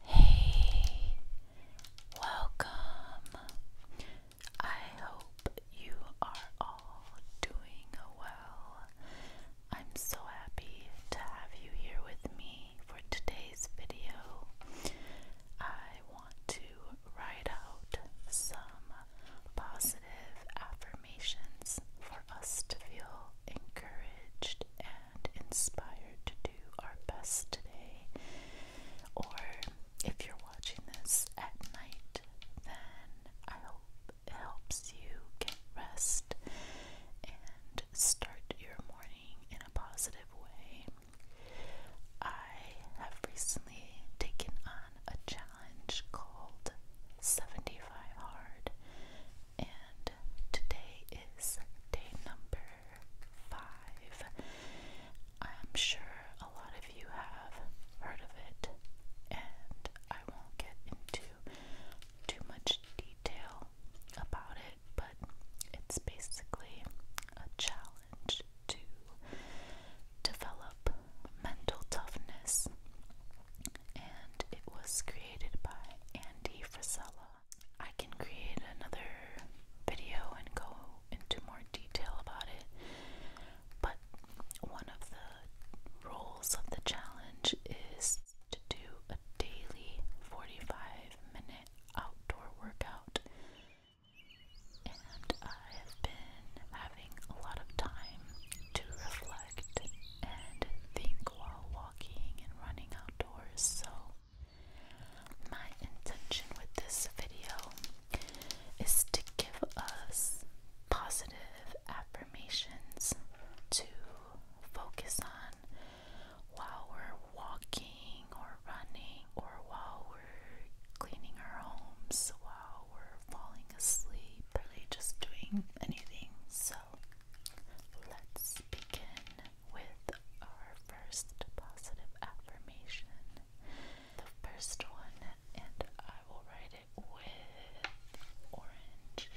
Hey, welcome. I hope you are all doing well. I'm so happy to have you here with me for today's video. I want to write out some positive affirmations for us to feel encouraged inspired to do our best today. Or if you're watching this at night, then I hope it helps you get rest and start your morning in a positive way. I have recently taken on a challenge called 75 Hard, and today is day number five. I'm sure a lot of you have heard of it, and I won't get into too much detail about it, but it's basically a challenge to develop mental toughness, and it was created by Andy Frisella. I can create another video and go into more detail about it. But one of the rules of the challenge is to do a daily 45 minute outdoor workout. And I have been having a lot of time to reflect and think while walking and running outdoors, so my intention with this video is to give us positive affirmations to focus on while we're walking or running or while we're cleaning our homes, while we're falling asleep, really just doing anything. So let's begin with our first positive affirmation. The first one, and I will write it with orange.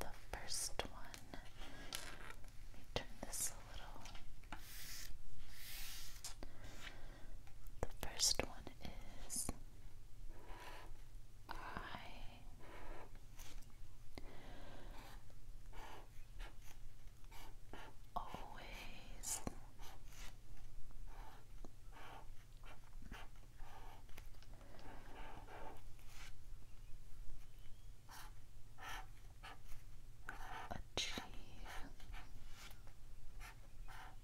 The first one, turn this a little. The first one is I always achieve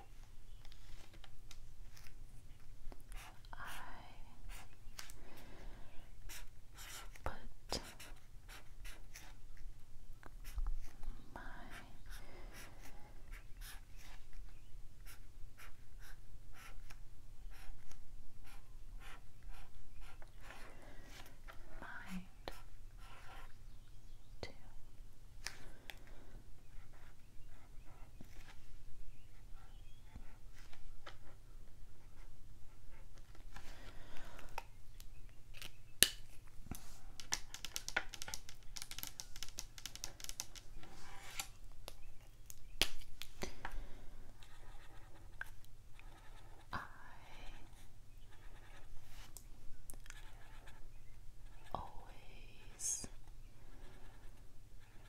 I put my mind to I always Always,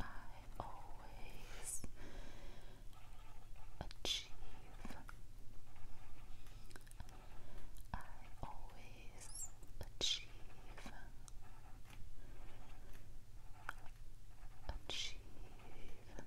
I always achieve, I always achieve, achieve. I always achieve everything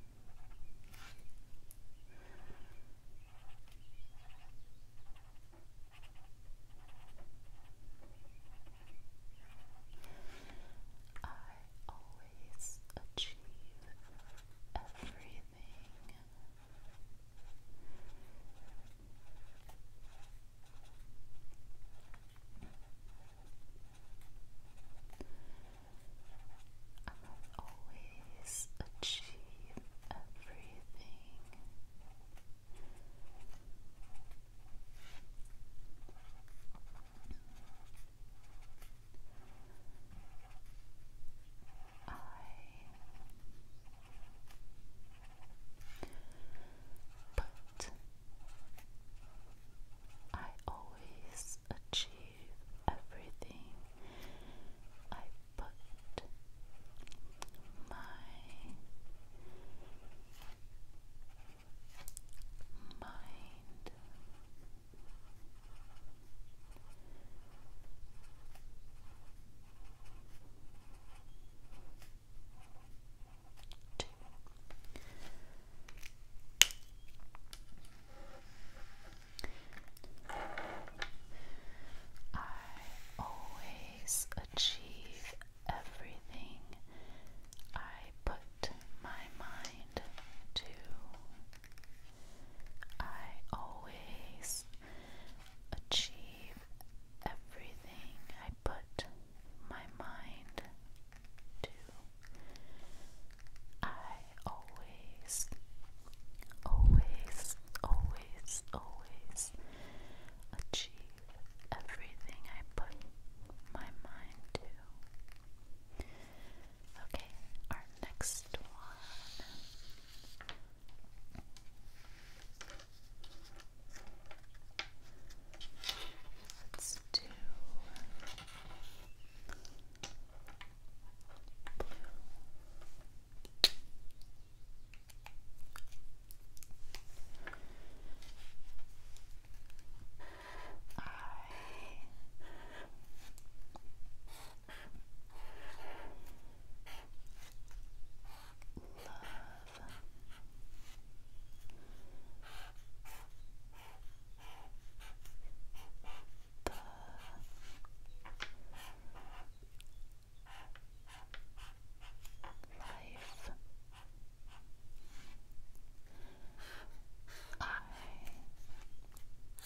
I'll always achieve everything. I but I always achieve everything I put my mind I always achieve everything I put my mind to. I always achieve everything I put my mind to, I always, always, always, always achieve everything I put my mind to. Okay, our next one. Let's do blue. I love. The life I I am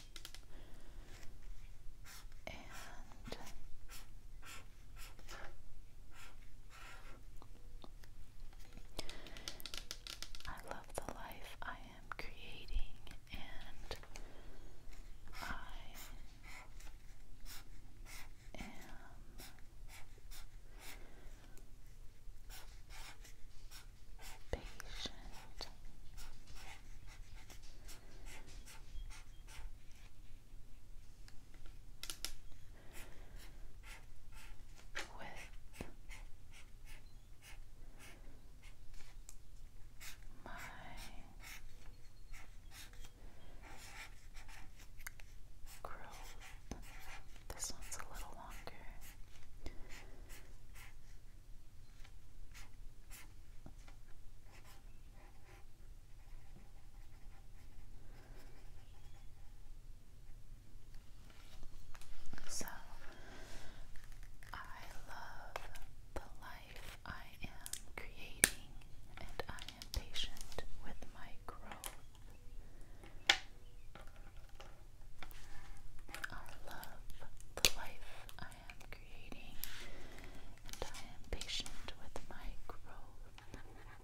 and I love the life I am creating, and I am patient with my growth. This one's a little longer. So I love the life I am creating, and I am patient with my growth. I love the life I am creating and I am patient with my growth. I love, love,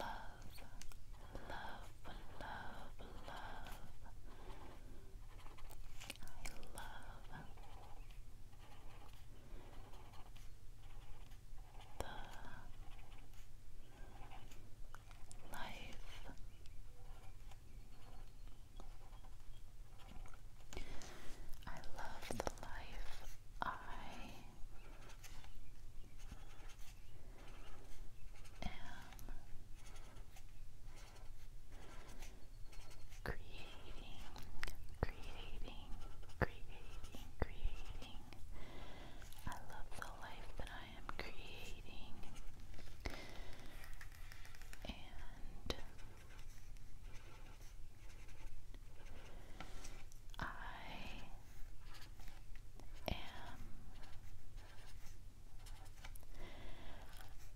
love, love. I love the life I love the life I am creating creating creating creating I love the life that I am creating. And I am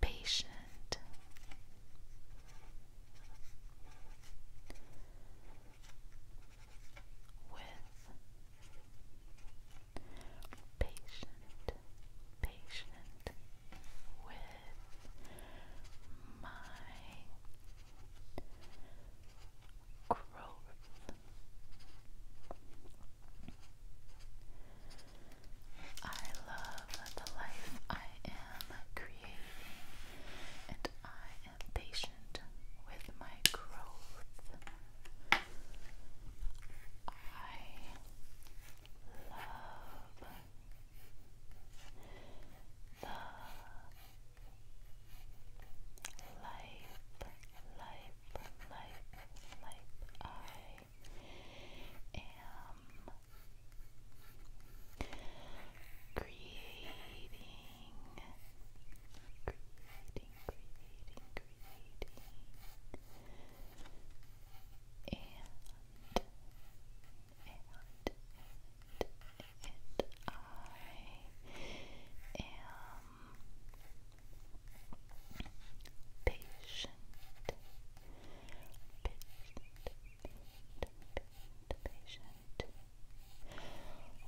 patient with patient, patient with my growth. I love the life I am creating, and I am patient with my growth. I love the life, life, life, life. I am creating creating, creating, and, and, and, and I am patient. Patient, patient, patient, out with my growth.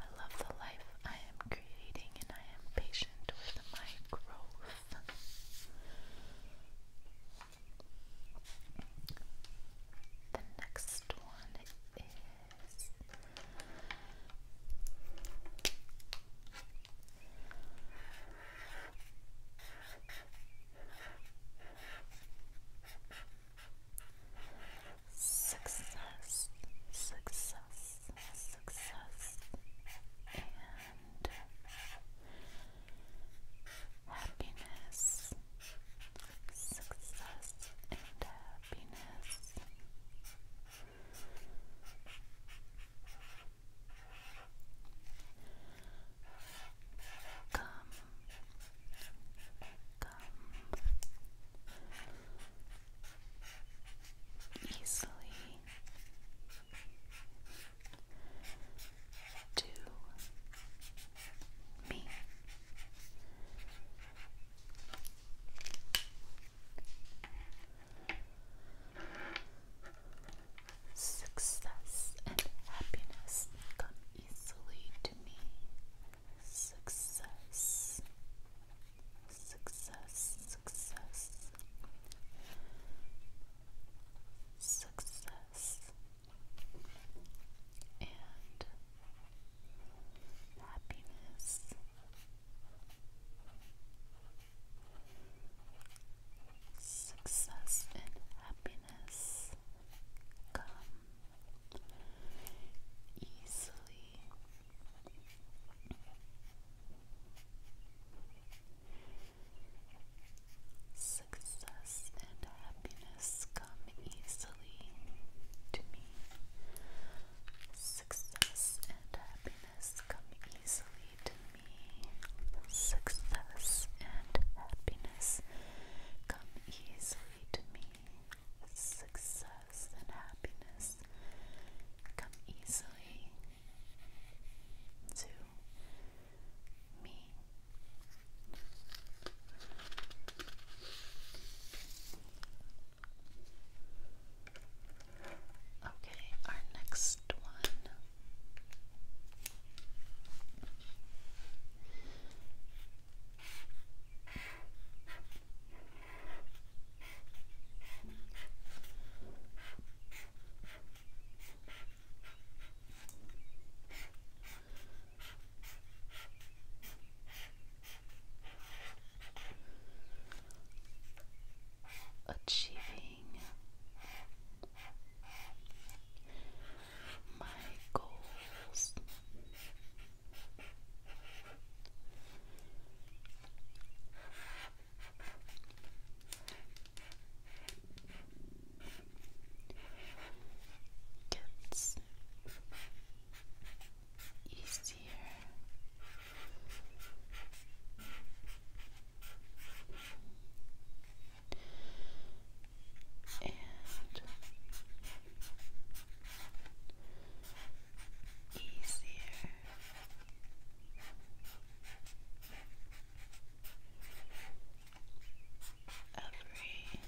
I love the life I am creating, and I am patient with my growth. The next one is success, success, success, and happiness, success, and happiness. Come, come easily to me. Success and happiness come easily to me. Success, success, success, success, and happiness. Success and happiness come easily. Success and happiness come easily to me. Success and happiness come easily to me. Success and happiness come easily to me. Success and happiness come easily to me. Okay, our next one achieving my goals gets easier. And easier every day.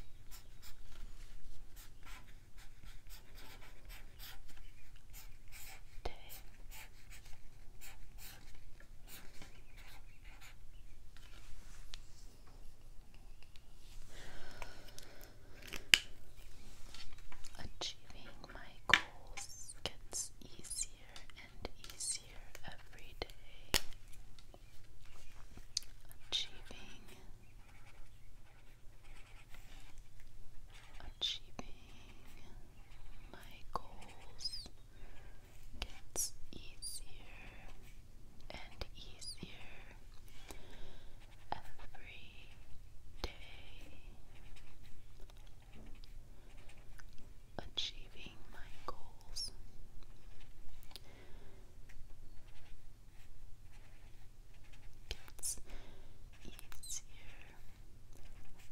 Achieving my goals gets easier and easier every day, achieving, achieving my goals gets easier and easier every day achieving my goals. Gets easier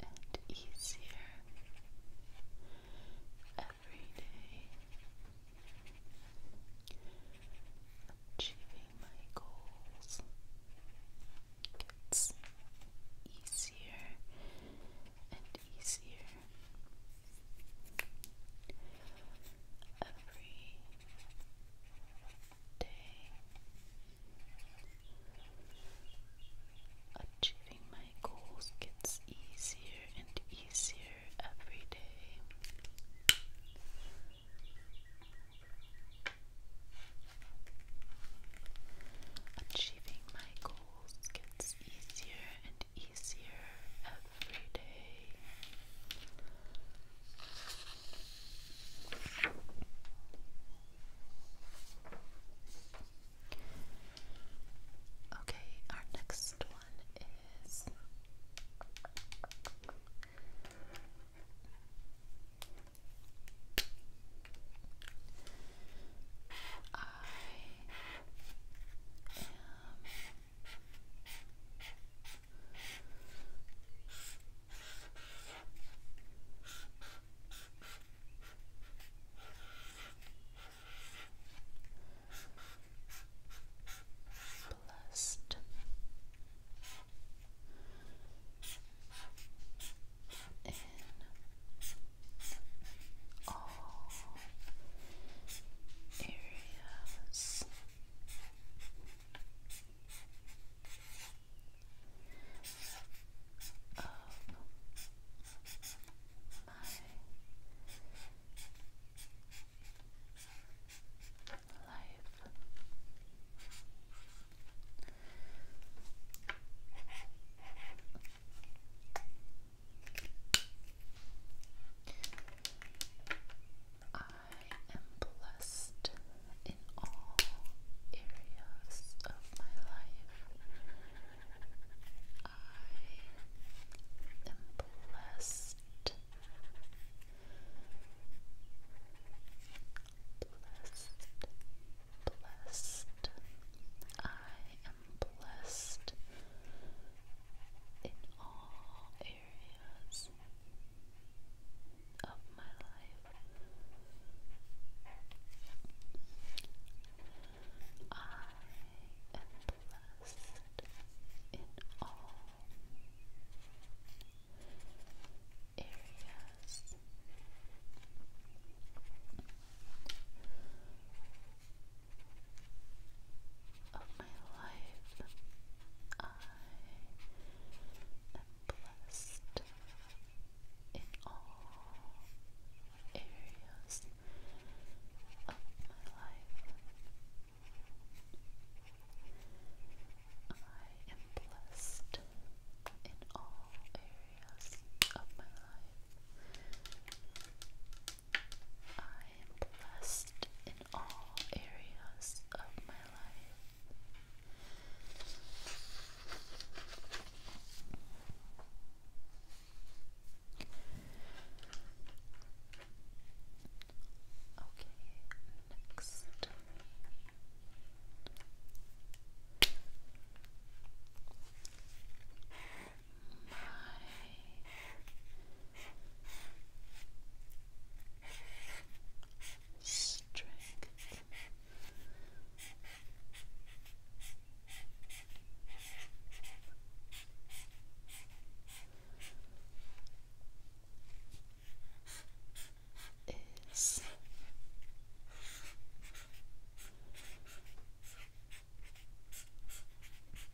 and easier every day. Achieving my goals gets easier and easier every day, achieving my goals gets easier and easier every day. Achieving my goals gets easier and easier every day. Okay, our next one is I am blessed. In all areas. Of my life. I am blessed in all areas of my life. I am blessed. Blessed, blessed. I blessed in all areas of my life. I am blessed in all areas of my life. I am blessed in all areas of my life. I am blessed in all areas of my life. I am blessed in all areas of my life. Okay, next my strength. Is greater than any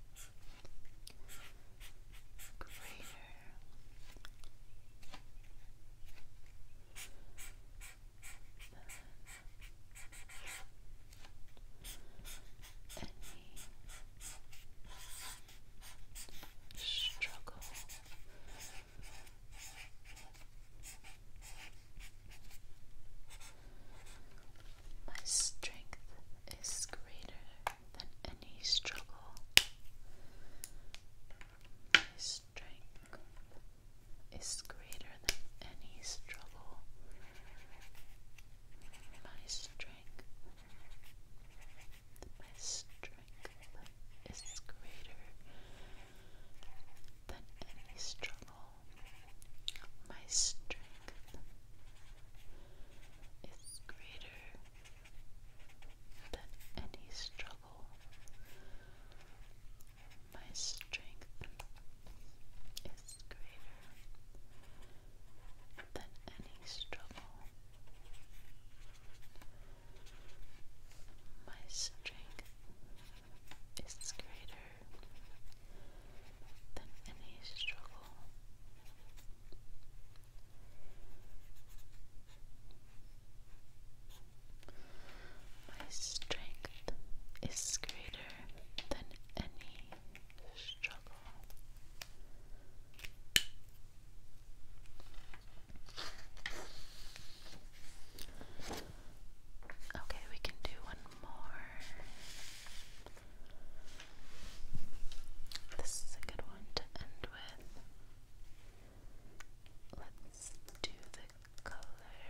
struggle my strength is greater than any struggle. My strength is greater than any struggle. My strength, my strength is greater than any struggle. My strength is greater than any struggle. My strength is greater than any struggle. My strength is greater than any struggle. My strength is greater than any struggle. Okay, we can do one more. This is a good one to end with. Let's do the color.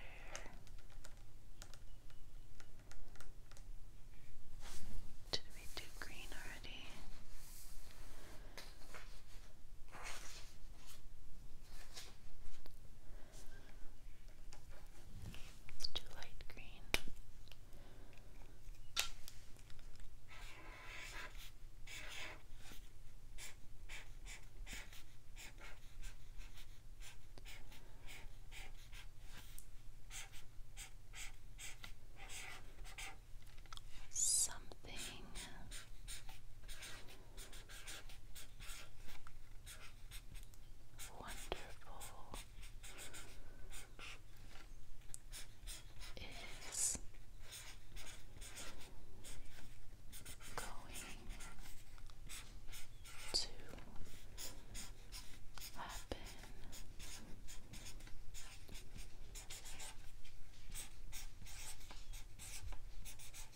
Did we do green already? It's too light green. Something wonderful is going to happen.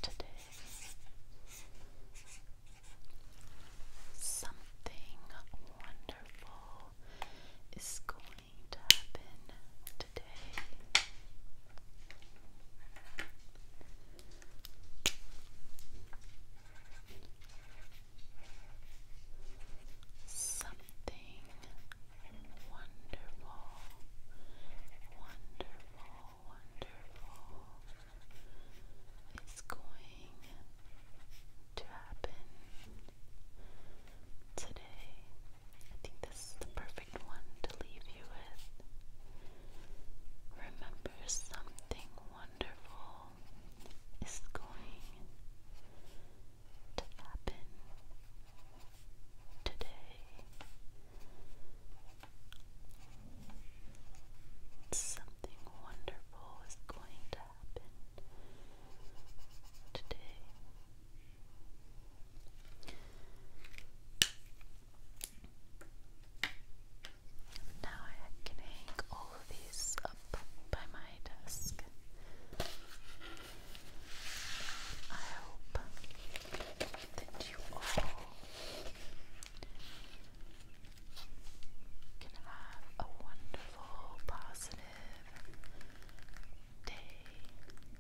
Today, Something wonderful is going to happen today. Something wonderful, wonderful, wonderful is going to happen today. I think this is the perfect one to leave you with. Remember, something wonderful is going to happen today. Something wonderful is going to happen today. Now I can hang all of these up by my desk. I hope that you all can have a wonderful, positive day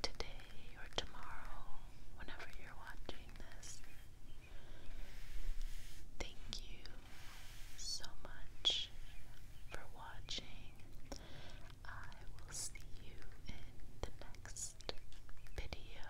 today or tomorrow, whenever you're watching this. Thank you so much for watching. I will see you in the next video.